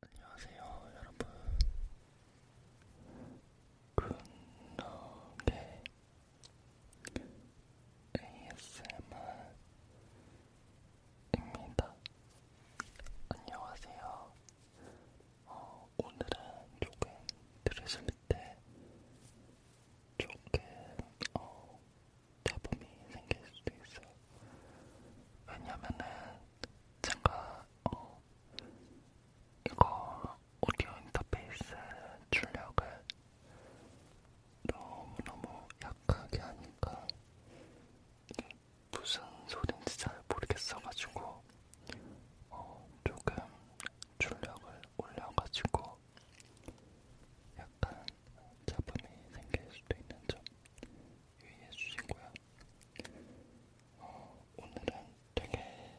안녕하세요 여러분 군덕의 ASMR입니다 안녕하세요 어, 오늘은 조금 들으실 때 조금 어, 잡음이 생길 수도 있어. 왜냐면은 제가 어 이거 오디오 인터페이스 출력을 너무너무 약하게 하니까 무슨 소린지 잘 모르겠어가지고 어 조금 출력을 올려가지고 약간 자분이 생길 수도 있는 점 유의해 주시고요. 어, 오늘은 되게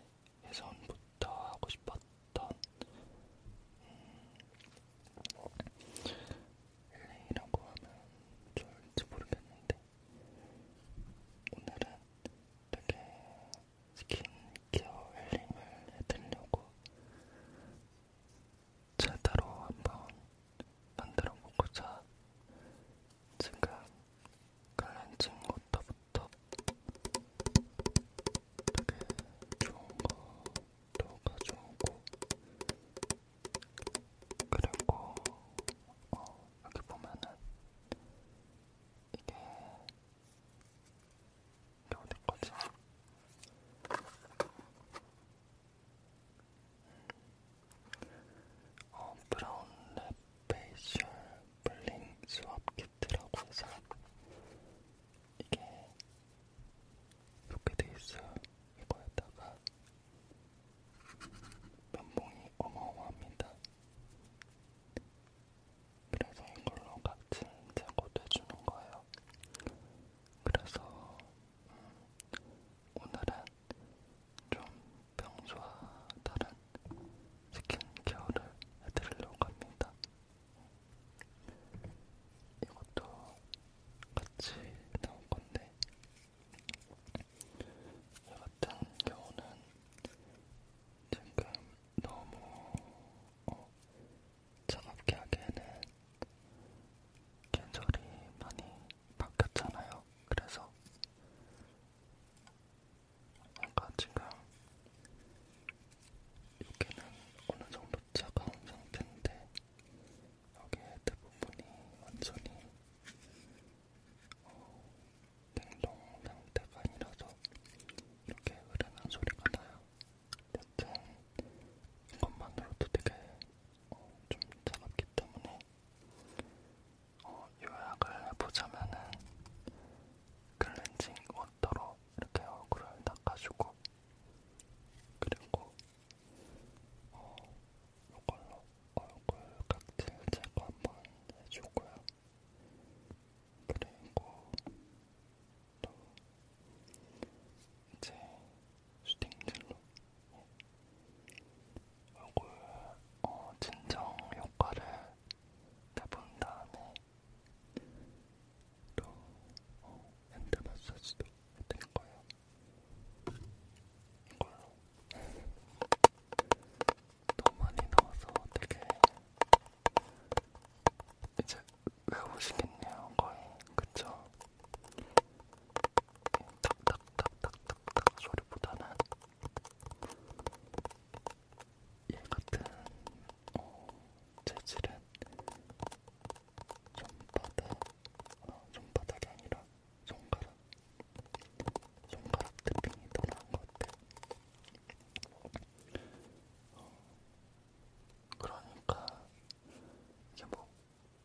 예전부터 하고 싶었던 일이라고 음, 하면 좋을지 모르겠는데 오늘은 되게 스킨케어 힐링을 해드리려고 제대로 한번 만들어 보고자 지금 클렌징 워터부터 되게 좋은 거도 가져오고 그리고 어, 여기 보면은 이게 겨우된 거지. 어, 브라운 랩 페이셜 블링 수압 키트라고 해서 이게 이렇게 돼 있어요. 이거에다가 면봉이 어마어마합니다. 그래서 이걸로 각질 제거도 해주는 거예요. 그래서 오늘은 좀 평소와 다른 스킨케어를 해드리려고 합니다. 이것도 같이 나올 건데, 저 같은 경우는 지금 너무 어, 정확히 하기에는 계절이 많이 바뀌었잖아요. 그래서 뭔가 지금 여기는 어느 정도 차가운 상태인데 여기에 대부분이 완전히 어, 냉동 상태가 아니라서 이렇게 흐르는 소리가 나요. 여튼 이것만으로도 되게 어, 좀 차갑기 때문에 어, 요약을 해보자면은 클렌징 워터로 이렇게 얼굴을 닦아주고 그리고 어, 이걸로 얼굴 각질 제거 한번 해주고요. 그리고 또 이제 슈팅젤로 얼굴 어, 진정 효과를 내본 다음에 또 어, 핸드 마사지도 해드릴 거예요. 이걸로 너무 많이 넣어서 되게 이제 외우시겠네요, 거의. 그쵸? 탁탁탁탁탁 소리보다는 얘 같은 어, 재질은 손바닥, 아, 손바닥이 아니라 손가락, 손가락 트핑이 더 나은 것 같아요. 어, 그러니까 이게 뭐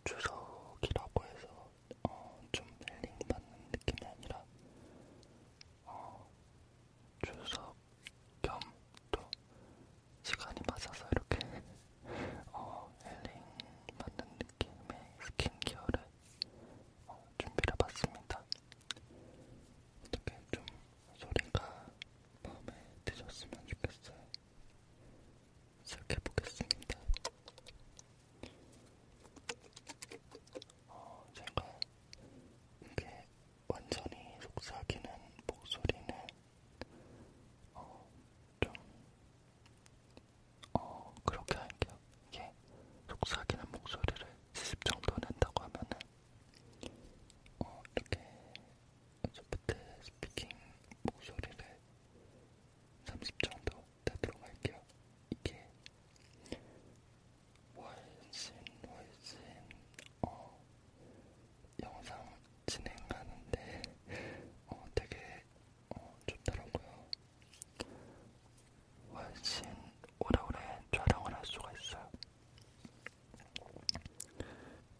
주석이라고 해서 어, 좀 힐링 받는 느낌이 아니라 어, 주석 겸 또 시간이 맞아서 이렇게 어, 힐링 받는 느낌의 스킨케어를 어, 준비를 해봤습니다. 어떻게 좀 소리가 마음에 드셨으면 좋겠어요. 시작해보겠습니다. 어, 제가 이게 완전히 속삭이는 목소리는 어, 좀 어, 그렇게 할게요. 이게 속삭이는 목소리를 70 정도 낸다고 하면은 어, 이렇게 소프트 스피킹 목소리를 30점 더 되도록 할게요. 이게 훨씬 훨씬 어, 영상 진행하는데 어, 되게 어, 좋더라고요. 훨씬 오래오래 촬영을 할 수가 있어요.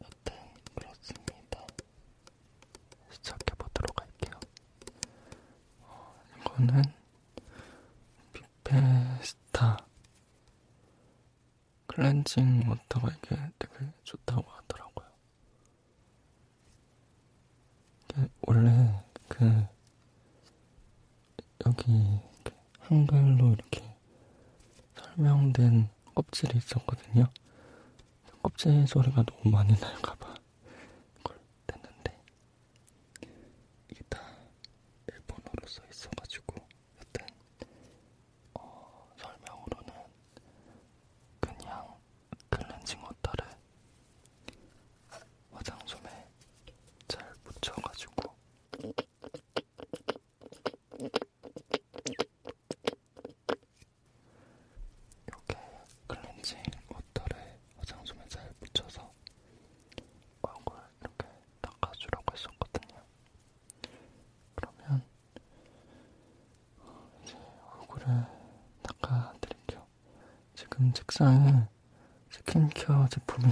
여튼 그렇습니다. 시작해 보도록 할게요. 어, 이거는 비페스타 클렌징 워터가 이게 되게 좋다고 하더라고요. 원래 그 여기 이렇게 한글로 이렇게 설명된 껍질이 있었거든요. 껍질 소리가 너무 많이 날까봐 이걸 뗐는데 이게 다 일본어로 써 있어가지고 여튼 어, 설명으로는 그냥 클렌징 워터를 화장솜에 잘 묻혀가지고 요게 클렌징 워터를 화장솜에 잘 묻혀서 얼굴 이렇게 닦아주라고 했었거든요. 그러면 이제 얼굴을 닦아드릴게요. 지금 책상에 스킨케어 제품이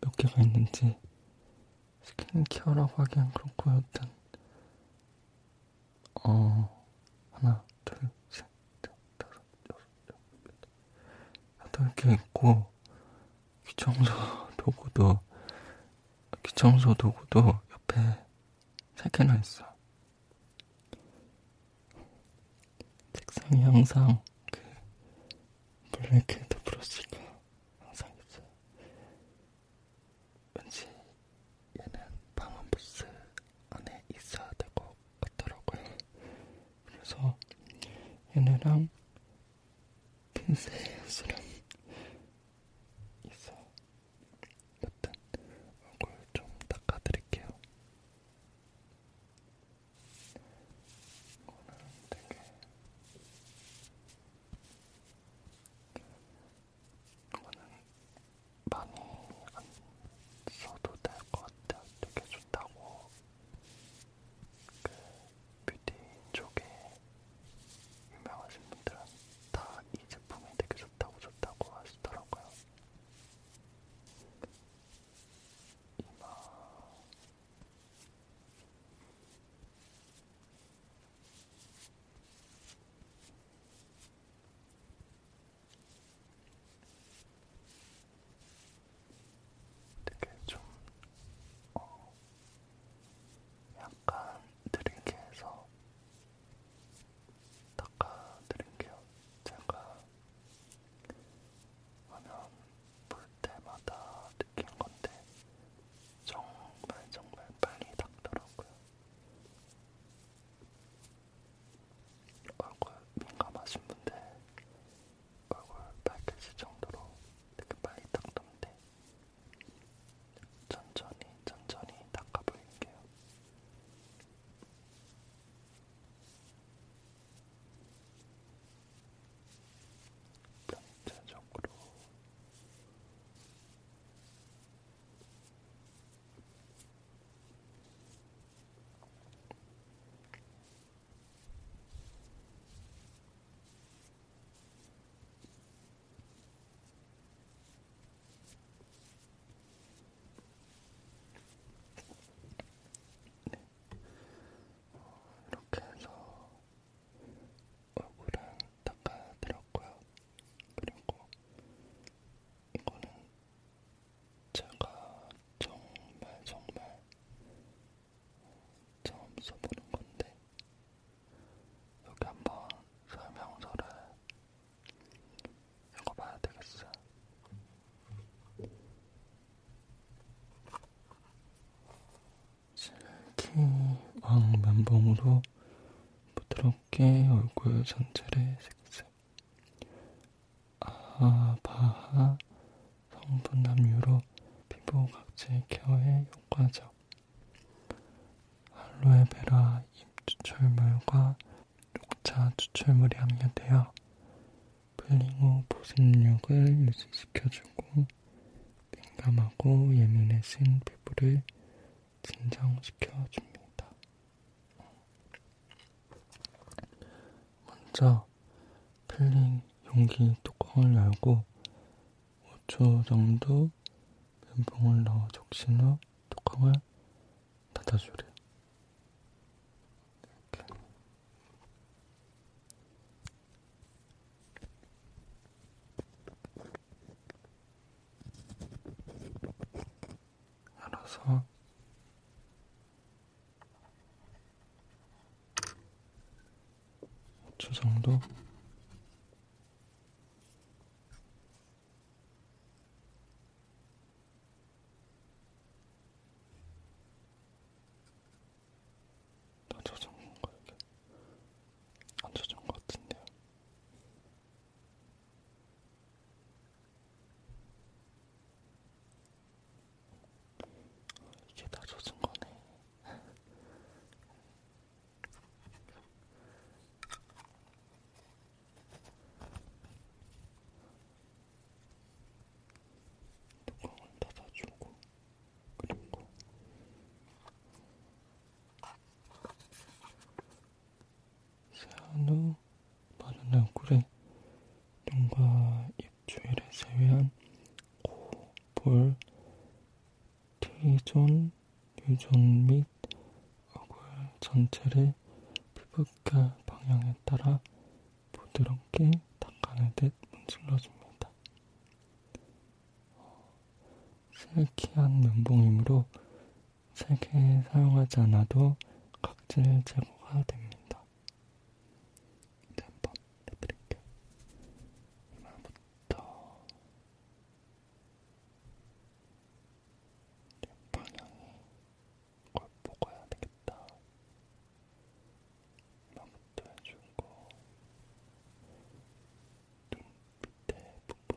몇 개가 있는지 스킨케어라고 하기엔 그렇고 여튼 어, 하나, 둘, 셋, 넷, 다섯, 여섯, 일곱, 여덟, 여덟 개 있고, 귀청소 도구도, 귀청소 도구도 옆에 세 개나 있어. 책상이 항상 그 블랙헤드 브러쉬가 항상 있어요. 왠지 얘는 방음부스 안에 있어야 될 것 같더라고요. 그래서 얘네랑 핀셋이랑 있어. 여튼 얼굴 좀 닦아드릴게요. 이거는 되게 이거는 많이 안 써도 될 것 같아요. 되게 좋다고 그 뷰티 쪽에 유명하신 분들은 다 이 제품이 되게 좋다고 좋다고 하시더라고요. 이마 되게 좀 어, 약간 느리게 해서 닦아드릴게요. 제가 화면 볼 때마다 느낀 건데 정말 정말 빨리 닦더라고요. 얼굴 민감하신 분들 얼굴 밝혀질 정도로 되게 빨리 닦던데 천천히 천천히 닦아볼게요. 전체적으로 네. 어, 이렇게 해서 얼굴은 닦아드렸고요. 그리고 이거는 제가 정말 정말 처음 써보는 건데 여기 한번 설명서를 읽어봐야 되겠어. 실키 왕 면봉으로 부드럽게 얼굴 전체를 슥슥 아하 바하 성분 함유로 피부 각질 케어에 효과적 알로에베라 잎 추출물과 녹차 추출물이 함유되어 풀링 후 보습력을 유지시켜주고 민감하고 예민해진 피부를 진정시켜줍니다. 먼저 필링 용기 뚜껑을 열고 5초 정도 면봉을 넣어 적신 후 뚜껑을 닫아주래요. 이렇게. 알아서 주 정도 다 젖은 건가 이게 안 젖은 것 같은데요 이게 다 젖은 거네. 뚜껑을 닫아주고 그리고 세안 후 바른 얼굴에 눈과 입 주위를 제외한 코, 볼, T존, U존 및 얼굴 전체를 피부결 방향에 따라 부드럽게 닦아내듯 문질러줍니다. 실키한 어, 면봉이므로 세개 사용하지 않아도 각질 제거가 됩니다. 이제 한번 해드릴게요. 이마부터 방향이 걸 먹어야 되겠다. 이마부터 해주고 눈 밑에 부분.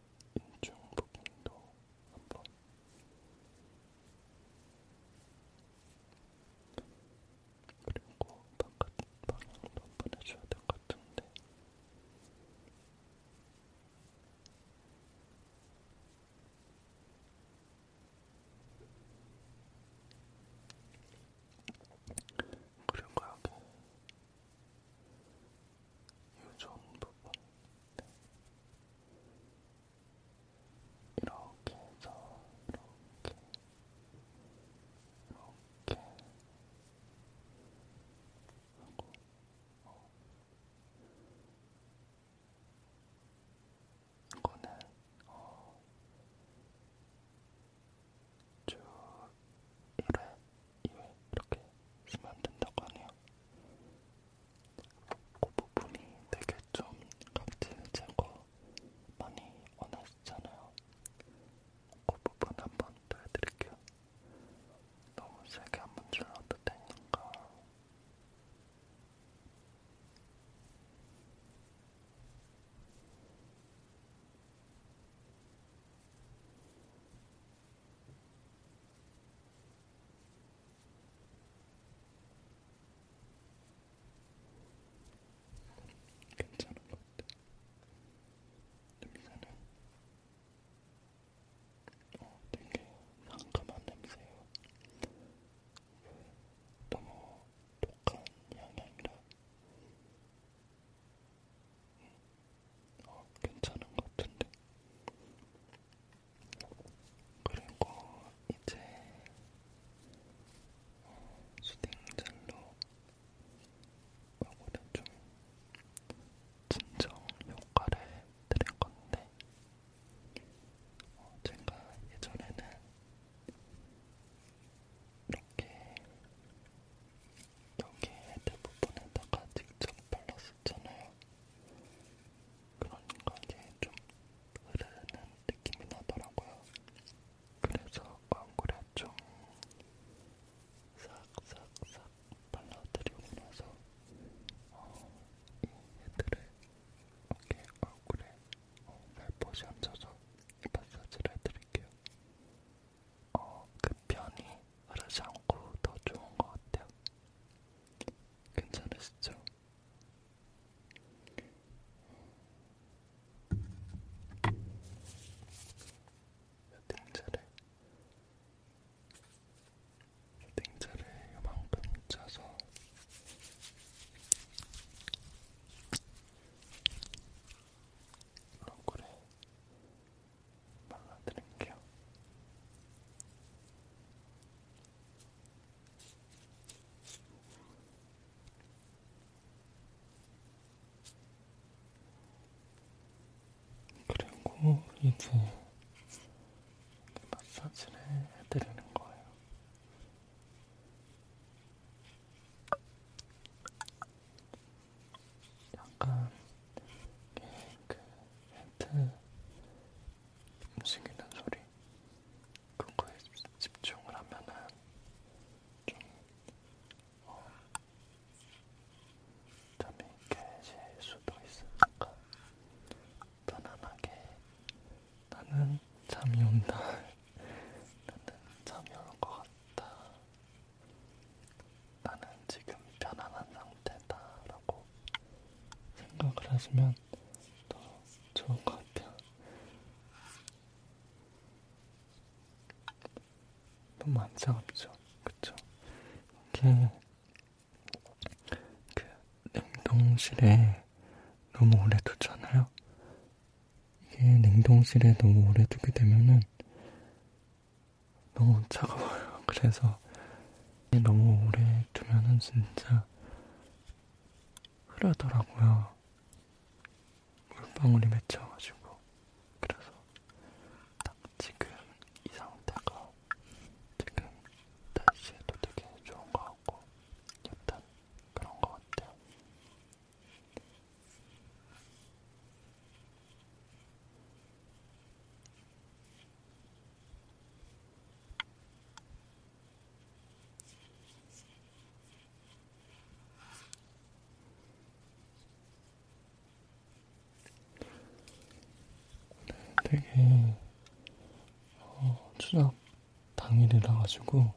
인중 부분도 한번 그리고 바깥 방향도 한번 해줘야 될 것 같은데 그리고 여기 유전 부분 네. 이렇게 해서 이렇게 이렇게 하고 어. 이거는 어. 쭉 1회, 2회 이렇게 쓰면 된다고 하네요. 그 부분이 되게 좀 각질 제거 많이 원하시잖아요. 그 부분 한번 더 해드릴게요. 너무 세게 한번 질러도 되니까. 그 괜찮은 것 같아. 냄새는 어, 되게 상큼한 냄새예요. 너무 독한 향이 아니라 어, 괜찮은 것 같은데 그리고 이제 수딩젤로 얼굴에 좀 진정 효과를 드릴 건데 어, 제가 예전에는 이렇게 여기 헤드 부분에다가 직접 발랐을 있잖아요. 그러니까 이제 좀 흐르는 느낌이 나더라고요. 그래서 광고를 좀 싹싹싹 발라드리고 나서 어, 이 애들을 이렇게 얼굴에 어, 날포시 얹어서 마사지를 해드릴게요. 어, 그 편이 흐르지 않고 더 좋은 것 같아요. 괜찮으시죠? 땡자를 땡자를 이만큼 짜서 얼굴에 발라드릴게요. 그리고 이제 마사지를 해드리는 거예요. 약간 그 헤드 움직이는 소리 그거에 집중을 하면은 좀 어, 잠이 깨질 수도 있으니까 편안하게 나는 잠이 온다 나는 잠이 올 것 같다 나는 지금 편안한 상태다 라고 생각을 하시면 더 좋을 것 같아요. 너무 안 차갑죠? 그쵸? 이게 그 냉동실에 너무 오래 두잖아요? 이게 냉동실에 너무 오래 두게 되면은 너무 차가워요. 그래서 너무 오래 두면은 진짜 흐르더라고요. 물방울이 맺혀가지고. 그래서 딱 지금 이 상태가 지금 날씨에도 되게 좋은 것 같고 약간 그런 것 같아요. 되게 어, 추석 당일이라 가지고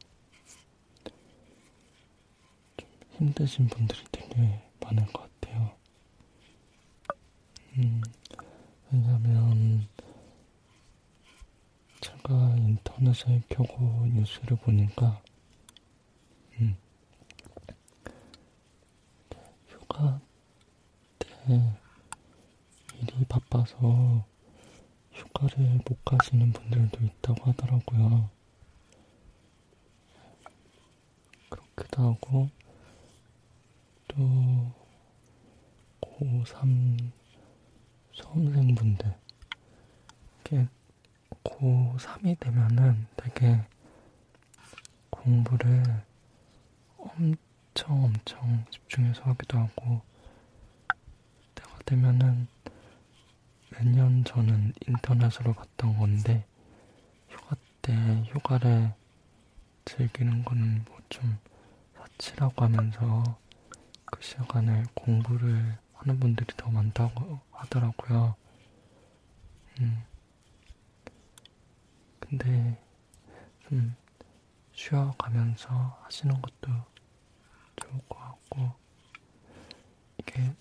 좀 힘드신 분들이 되게 많을 것 같아요. 음, 왜냐면 제가 인터넷에 켜고 뉴스를 보니까 음, 휴가 때 일이 바빠서 휴가를 못 가시는 분들도 있다고 하더라고요. 그렇기도 하고 또 고3 수험생분들 이렇게 고3이 되면은 되게 공부를 엄청 엄청 집중해서 하기도 하고 때가 되면은 매년 저는 인터넷으로 봤던 건데 휴가 때 휴가를 즐기는 거는 뭐 좀 사치라고 하면서 그 시간에 공부를 하는 분들이 더 많다고 하더라고요. 음. 근데 좀 쉬어가면서 하시는 것도 좋을 것 같고 이게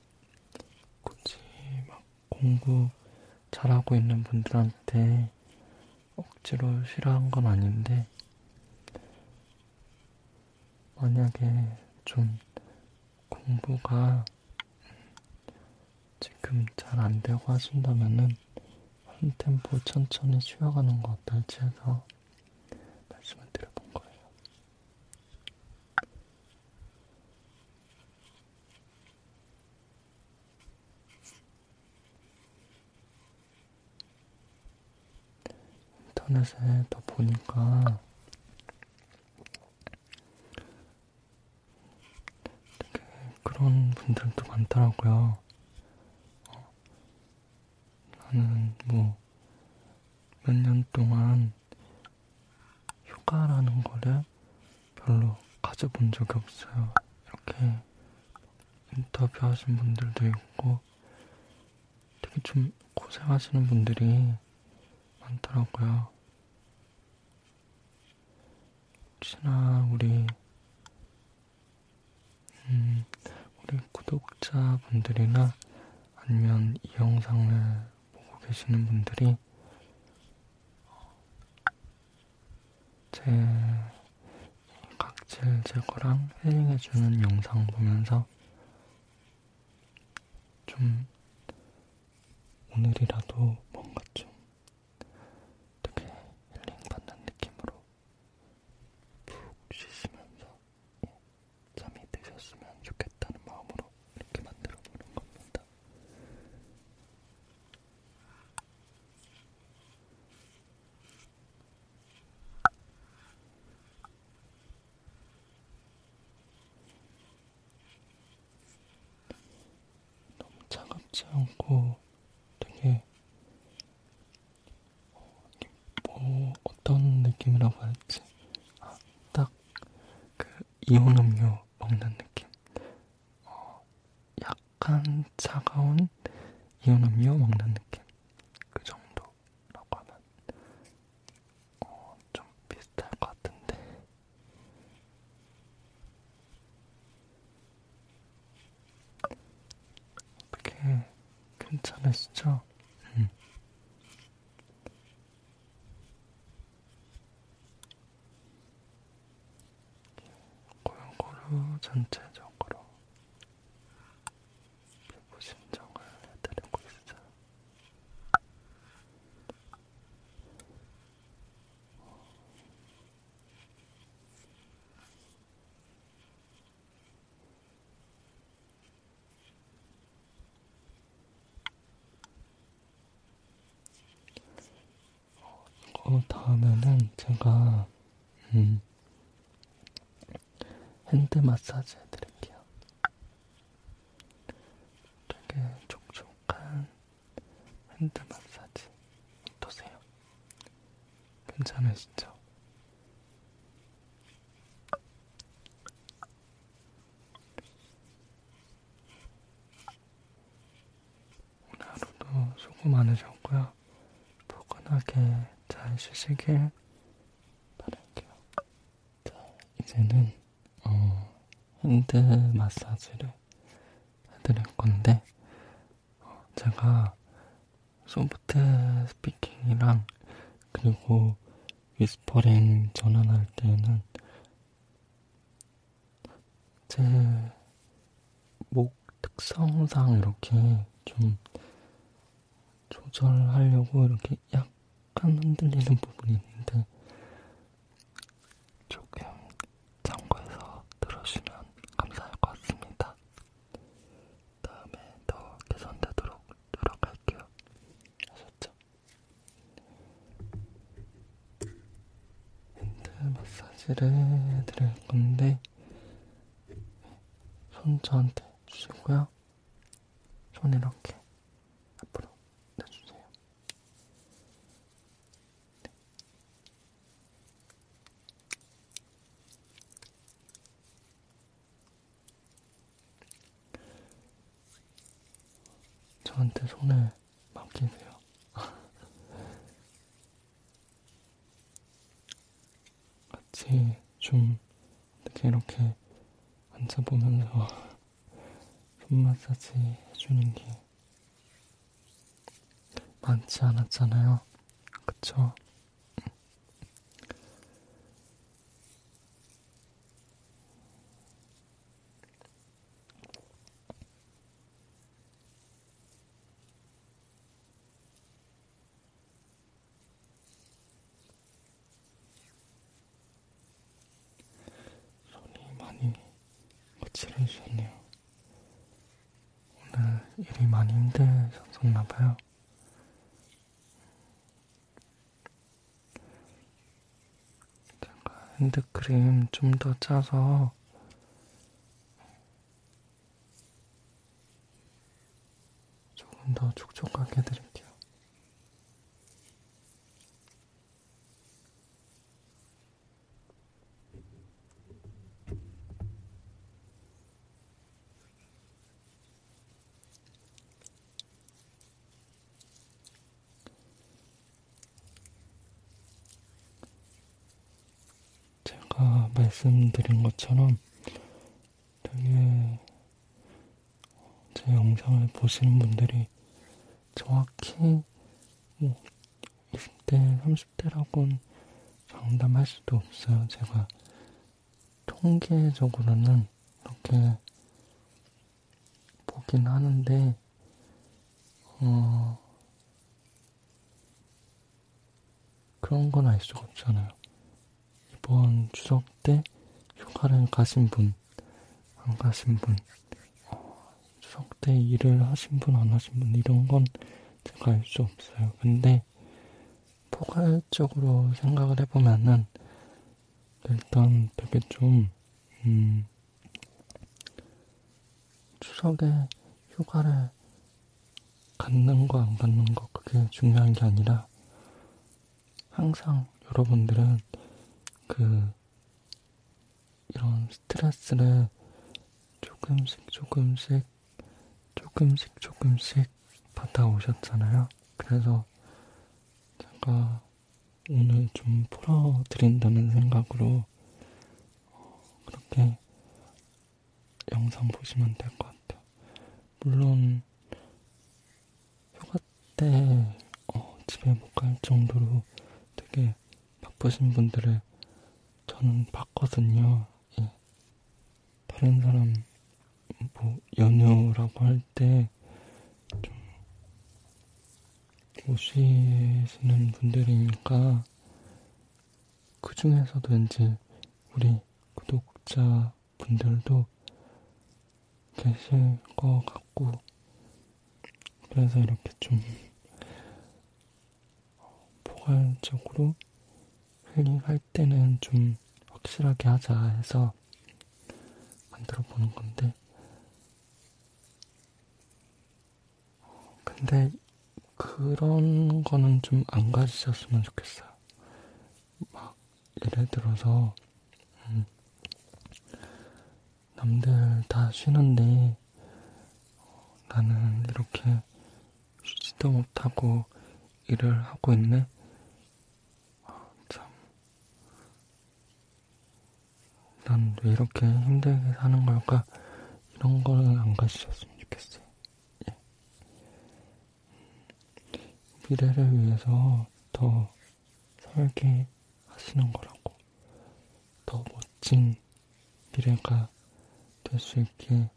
굳이 막 공부 잘하고 있는 분들한테 억지로 싫어한 건 아닌데, 만약에 좀 공부가 지금 잘 안 되고 하신다면은 한 템포 천천히 쉬어가는 거 어떨지 해서 말씀을 드려본 거예요. 인터넷에 또 보니까 되게 그런 분들도 많더라고요. 어, 나는 뭐 몇 년 동안 휴가라는 거를 별로 가져본 적이 없어요. 이렇게 인터뷰 하신 분들도 있고 되게 좀 고생하시는 분들이 많더라고요. 혹시나 우리 음, 우리 구독자분들이나 아니면 이 영상을 보고 계시는 분들이 제 각질 제거랑 힐링해주는 영상 보면서 좀 오늘이라도 뭔가 좀 되게 힐링받는 느낌으로 푹 쉬시면서 예, 잠이 드셨으면 좋겠다는 마음으로 이렇게 만들어 보는 겁니다. 너무 차갑지 않고 되게 어, 뭐 어떤 느낌이라고 할지 아, 딱그 이온 음료 먹는 느낌 어, 약 약간 차가운 이온음료 먹는 느낌 그 정도라고 하면 어, 좀 비슷할 것 같은데 어떻게 괜찮으시죠? 음. 고용고루 전체적으로 피부 신정을 해드리고 있어요. 어, 이거 다음에는 제가 음, 핸드 마사지 해드릴게요. 되게 촉촉한 핸드 마사지 어떠세요? 괜찮으시죠? 오늘 하루도 수고 많으셨고요. 포근하게 잘 쉬시길 바랄게요. 자, 이제는 어, 핸드 마사지를 해드릴 건데 어, 제가 소프트 스피킹이랑 그리고 위스퍼링 전환할 때는 제목 특성상 이렇게 좀 조절하려고 이렇게 약간 흔들리는 부분이 있는데 조금 참고해서 들어주시면 감사할 것 같습니다. 다음에 더 개선되도록 노력할게요. 아셨죠? 핸드 마사지를 해드릴 건데 손 저한테 주시고요. 손 이렇게 앞으로 내주세요. 네. 저한테 손을 맡기세요. 같이 좀 어떻게 이렇게 앉아보면서 손 마사지 해주는 게 많지 않았잖아요. 그쵸? 손이 많이 거칠어지셨네요. 오늘 일이 많이 힘드셨나봐요. 제가 핸드크림 좀 더 짜서 조금 더 촉촉하게 해드릴게요. 제가 말씀드린 것처럼 되게 제 영상을 보시는 분들이 정확히 뭐 20대, 30대라고는 장담할 수도 없어요. 제가 통계적으로는 이렇게 보긴 하는데, 어, 그런 건 알 수가 없잖아요. 이번 추석 때 휴가를 가신 분, 안 가신 분, 어, 추석 때 일을 하신 분, 안 하신 분, 이런 건 제가 알 수 없어요. 근데 포괄적으로 생각을 해보면은 일단 되게 좀, 음, 추석에 휴가를 갖는 거안 갖는 거 그게 중요한 게 아니라 항상 여러분들은 그 이런 스트레스를 조금씩 조금씩 조금씩 조금씩 받아오셨잖아요. 그래서 제가 오늘 좀 풀어드린다는 생각으로 어, 그렇게 영상 보시면 될 것 같아요. 물론 휴가 때 어, 집에 못 갈 정도로 되게 바쁘신 분들을 저는 봤거든요. 예. 다른 사람 뭐 연휴라고 할 때 좀 오시는 분들이니까 그 중에서도 왠지 우리 구독자 분들도 계실 것 같고, 그래서 이렇게 좀 포괄적으로 힐링할 때는 좀 확실하게 하자 해서 만들어 보는 건데, 어, 근데 그런 거는 좀 안 가지셨으면 좋겠어요. 막, 예를 들어서, 음, 남들 다 쉬는데, 어, 나는 이렇게 쉬지도 못하고 일을 하고 있네? 아, 참. 난 왜 이렇게 힘들게 사는 걸까? 이런 거는 안 가지셨으면 좋겠어요. 예. 미래를 위해서 더 설계하시는 거라고. 더 멋진 미래가 될 수 있게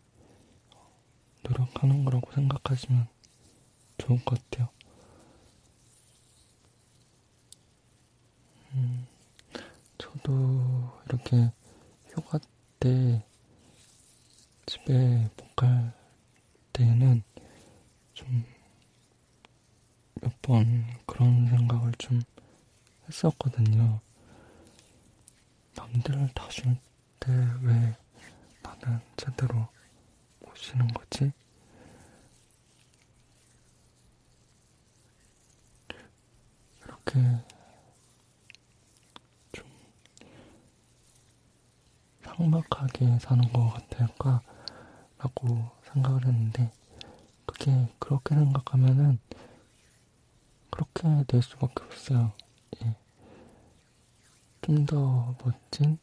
노력하는 거라고 생각하시면 좋을 것 같아요. 음, 저도 이렇게 휴가 때 집에 못 갈 때는 좀몇 번 그런 생각을 좀 했었거든요. 남들을 다줄 때왜 나는 제대로 못 쉬는 거지? 이렇게 좀 삭막하게 사는 것 같을까 라고 생각을 했는데 그게 그렇게 생각하면은 그렇게 될 수밖에 없어요. 예. 좀더 멋진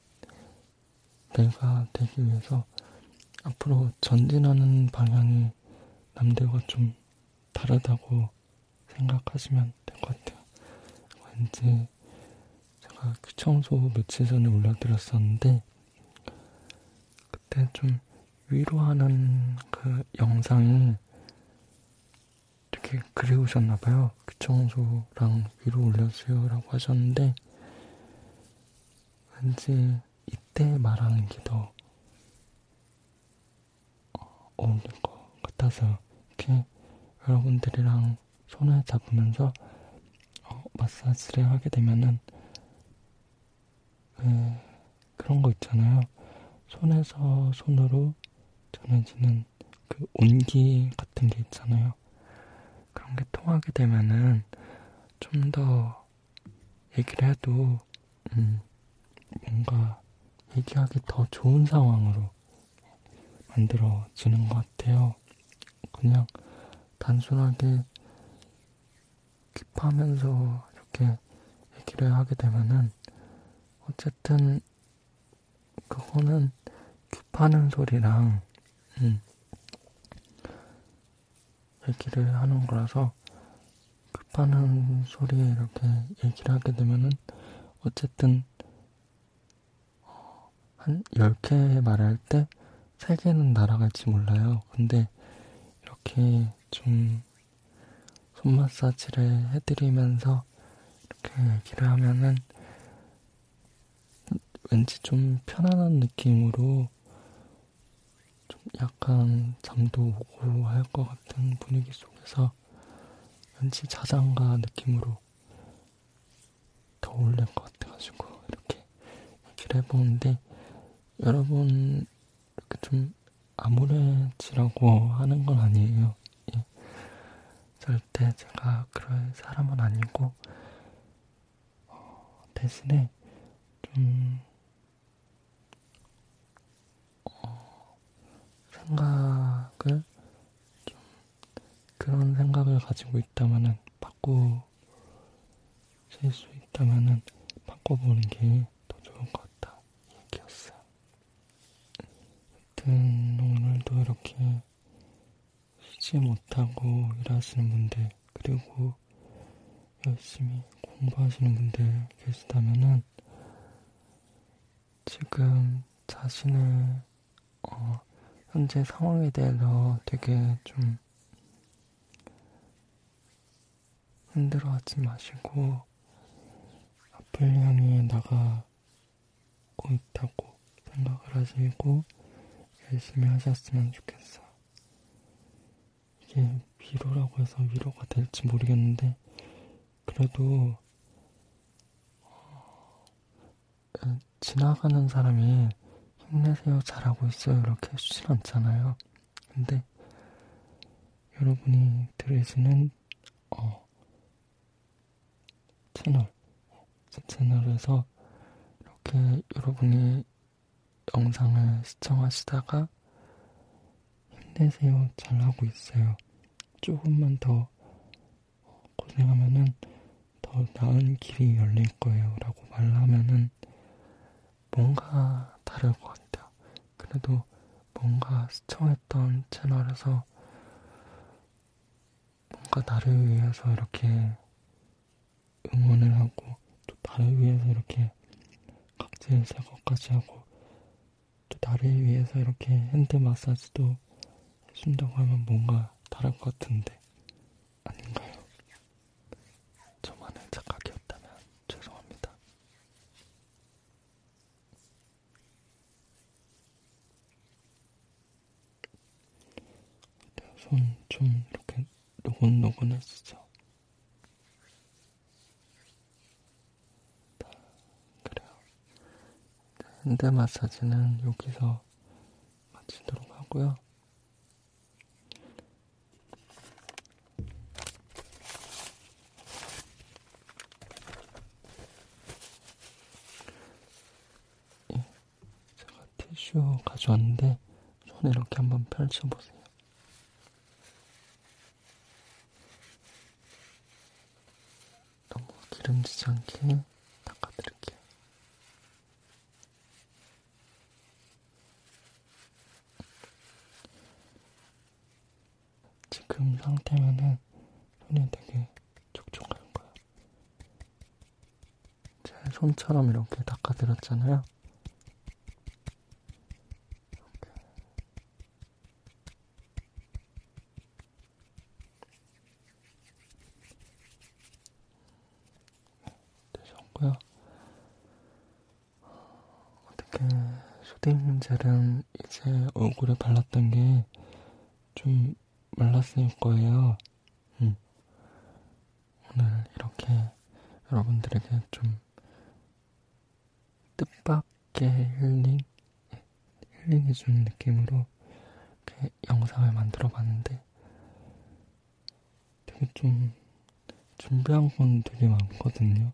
내가 되기 위해서 앞으로 전진하는 방향이 남들과 좀 다르다고 생각하시면 될 것 같아요. 왠지 제가 귀청소 며칠 전에 올려드렸었는데 그때 좀 위로하는 그 영상이 이렇게 그리우셨나봐요. 귀청소랑 위로 올려주세요라고 하셨는데 왠지 이때 말하는 게더 없는 것 같아서 이렇게 여러분들이랑 손을 잡으면서 어, 마사지를 하게 되면은 에, 그, 그런 거 있잖아요. 손에서 손으로 전해지는 그 온기 같은 게 있잖아요. 그런 게 통하게 되면은 좀 더 얘기를 해도 음, 뭔가 얘기하기 더 좋은 상황으로 만들어 주는 것 같아요. 그냥 단순하게 킵하면서 이렇게 얘기를 하게 되면은 어쨌든 그거는 킵하는 소리랑 음 얘기를 하는 거라서 급하는 소리에 이렇게 얘기를 하게 되면은 어쨌든 한 10개 말할 때 3개는 날아갈지 몰라요. 근데 이렇게 좀 손마사지를 해드리면서 이렇게 얘기를 하면은 왠지 좀 편안한 느낌으로 좀 약간 잠도 오고 할 것 같은 분위기 속에서 뭔가 왠지 자장가 느낌으로 더 어울릴 것 같아가지고 이렇게 얘기를 해보는데 여러분 이렇게 좀 아무래지라고 하는 건 아니에요. 예. 절대 제가 그럴 사람은 아니고 어, 대신에 좀 어, 생각을 좀 그런 생각을 가지고 있다면은 바꾸실 수 있다면은 바꿔보는 게 더 좋을 것 같다 얘기였어요. 하여튼 오늘도 이렇게 쉬지 못하고 일하시는 분들 그리고 열심히 공부하시는 분들 계시다면은 지금 자신의 어, 현재 상황에 대해서 되게 좀 흔들어하지 마시고 앞을 향해 나가고 있다고 생각을 하시고 열심히 하셨으면 좋겠어. 이게 위로라고 해서 위로가 될지 모르겠는데 그래도 어, 그 지나가는 사람이 힘내세요, 잘하고 있어요 이렇게 해주진 않잖아요. 근데 여러분이 들으시는 어, 채널, 제 채널에서 이렇게 여러분이 영상을 시청하시다가 힘내세요, 잘하고 있어요. 조금만 더 고생하면은 더 나은 길이 열릴 거예요. 라고 말하면은 뭔가 다를 것 같아요. 그래도 뭔가 시청했던 채널에서 뭔가 나를 위해서 이렇게 응원을 하고 또 나를 위해서 이렇게 각자의 사고까지 하고 또 나를 위해서 이렇게 핸드 마사지도 해준다고 하면 뭔가 다를 것 같은데 아닌가요? 저만의 착각이었다면 죄송합니다. 네, 손좀 이렇게 노곤노곤했었죠. 네, 그래요. 핸드 마사지는 여기서 마치도록 하고요. 예, 제가 티슈 가져왔는데 손 이렇게 한번 펼쳐보세요. 너무 기름지지 않게 닦아드릴게요. 지금 상태면은 손이 되게 촉촉한 거예요. 제 손처럼 이렇게 닦아드렸잖아요. 이렇게. 되셨고요. 어떻게 쇼딩젤은 이제 얼굴에 발랐던 게 좀 말랐을 거예요. 음. 오늘 이렇게 여러분들에게 좀 뜻밖 가볍게 힐링, 힐링해주는 느낌으로 이렇게 영상을 만들어 봤는데 되게 좀 준비한 건 되게 많거든요.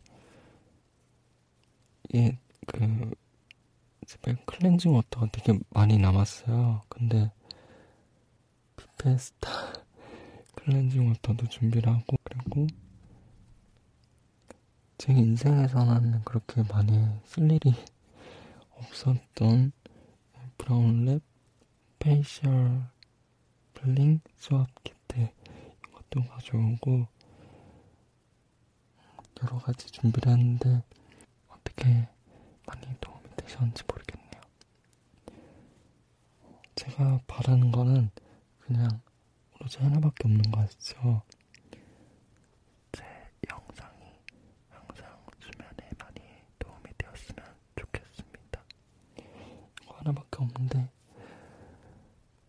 예, 그, 집에 클렌징 워터가 되게 많이 남았어요. 근데 피페스타 클렌징 워터도 준비를 하고 그리고 제 인생에서는 그렇게 많이 쓸 일이 없었던 브라운랩 페이셜 블링 수압 키트 이것도 가져오고 여러 가지 준비를 했는데 어떻게 많이 도움이 되셨는지 모르겠네요. 제가 바라는 거는 그냥 오로지 하나밖에 없는 거 아시죠? 제 영상이 항상 수면에 많이 도움이 되었으면 좋겠습니다. 이거 하나밖에 없는데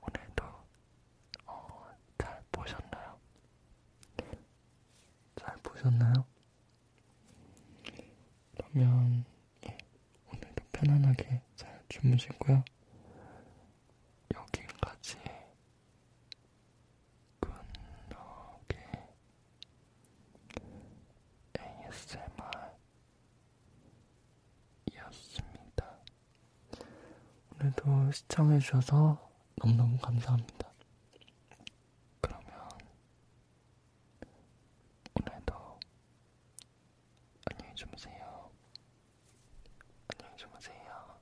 오늘도 어, 잘 보셨나요? 잘 보셨나요? 그러면 예, 오늘도 편안하게 잘 주무시고요. 여기까지 분노게 ASMR이었습니다. 오늘도 시청해주셔서 너무너무 감사합니다. 그러면 오늘도 안녕히 주무세요. 안녕히 주무세요.